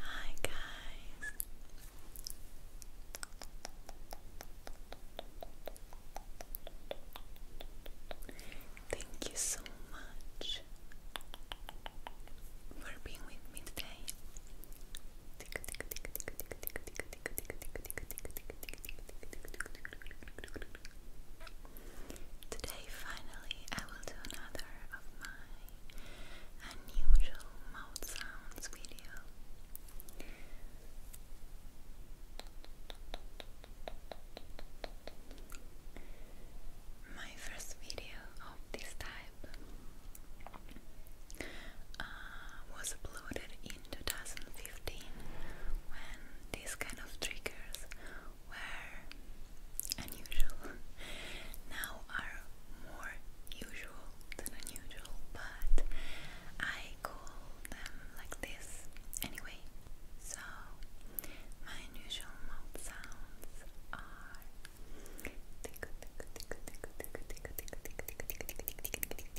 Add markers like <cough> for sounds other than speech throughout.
Hi, guys. Thank you so much for being with me today. Today, finally, I will do another of my unusual mouth sounds video. My first video of this type uh, was uploaded in 2015 when these kind of triggers were unusual. now are more usual than unusual, but I call them like this anyway. So my unusual mouth sounds are tickle tickle tickle tickle tickle tickle tickle tickle tickle tickle tickle tickle tickle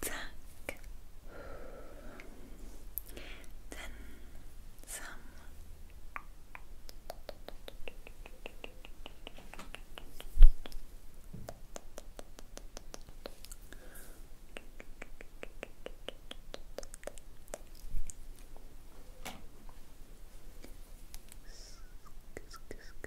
Tack. Then some. Scoop, scoop, scoop,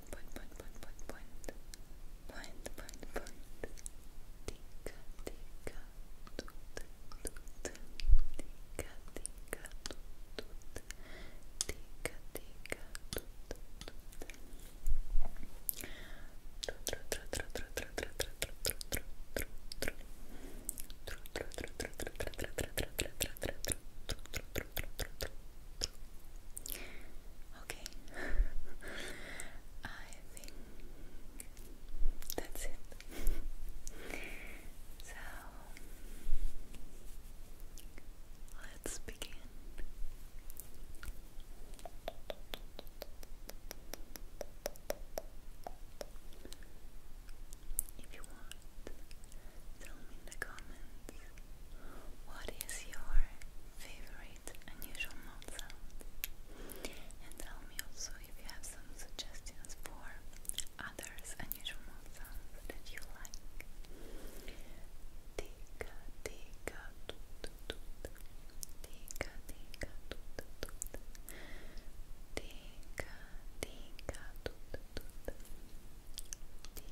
point, point, point, point, point, point, point, point, point. Tica, tica, tut, tut. Tica, tica, tut, tut. Tica, tica, tut, tut. Okay. <laughs> I think that's it. <laughs> so let's begin. If you want, tell me in the comments what is your favorite unusual mouth sound and tell me also if you have some suggestions for others unusual mouth sounds that you like Tika tika toot toot Tika tika toot toot Tika tika toot toot Tika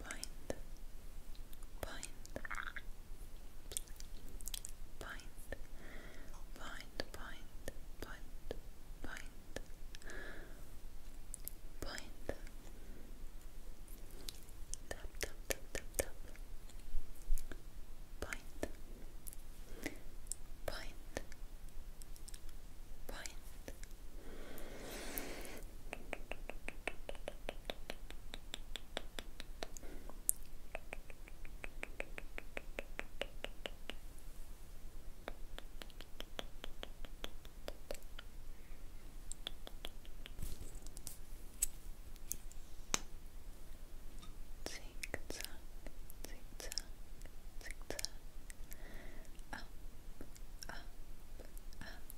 point, point, point, point, point, point, point, point, tap, tap, tap, tap, tap, point, point, point. Zigzag, zigzag, zigzag, up, up, up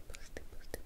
stipple, stipple, Tap,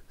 Zack.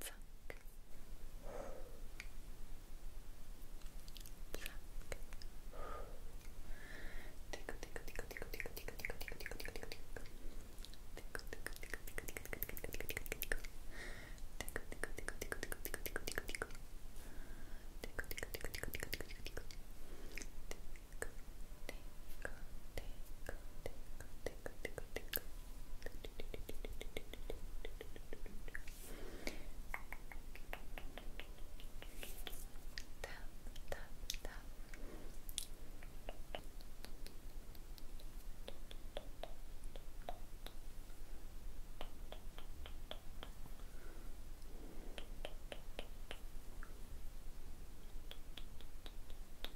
Pluck. Pluck. Tickle, tickle, tickle, tickle, tickle, tickle, tickle, tickle, tickle, tickle, tickle. Tickle, tickle, tickle, tickle, tickle, tickle, tickle, tickle, tickle. Tickle, tickle, tickle, tickle, tickle, tickle, tickle, tickle, tickle. Tickle, tickle, tickle, tickle, tickle, tickle, tickle, tickle. Tickle, tickle, tickle, tickle, tickle, tickle, tickle tickle, tickle, tickle, tickle, tickle, Tap, tap, tap. Tap,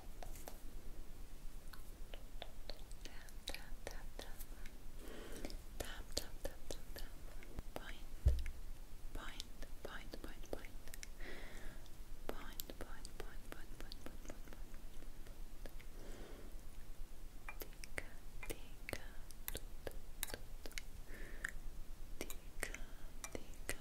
tap, tap, tap, tap, tap, tap, tap, tap, point, point, point, point, point, point, point, point, point, point, point, point, point, tika, tika, tika, tika, tika,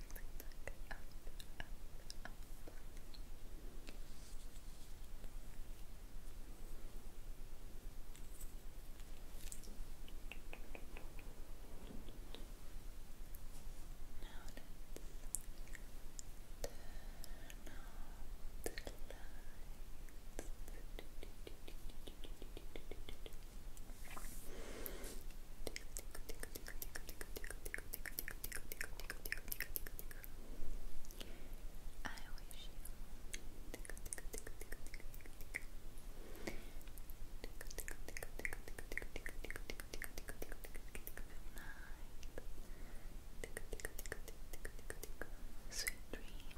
look up, up, up. Now let's turn off the lights. I wish you Sweet dreams.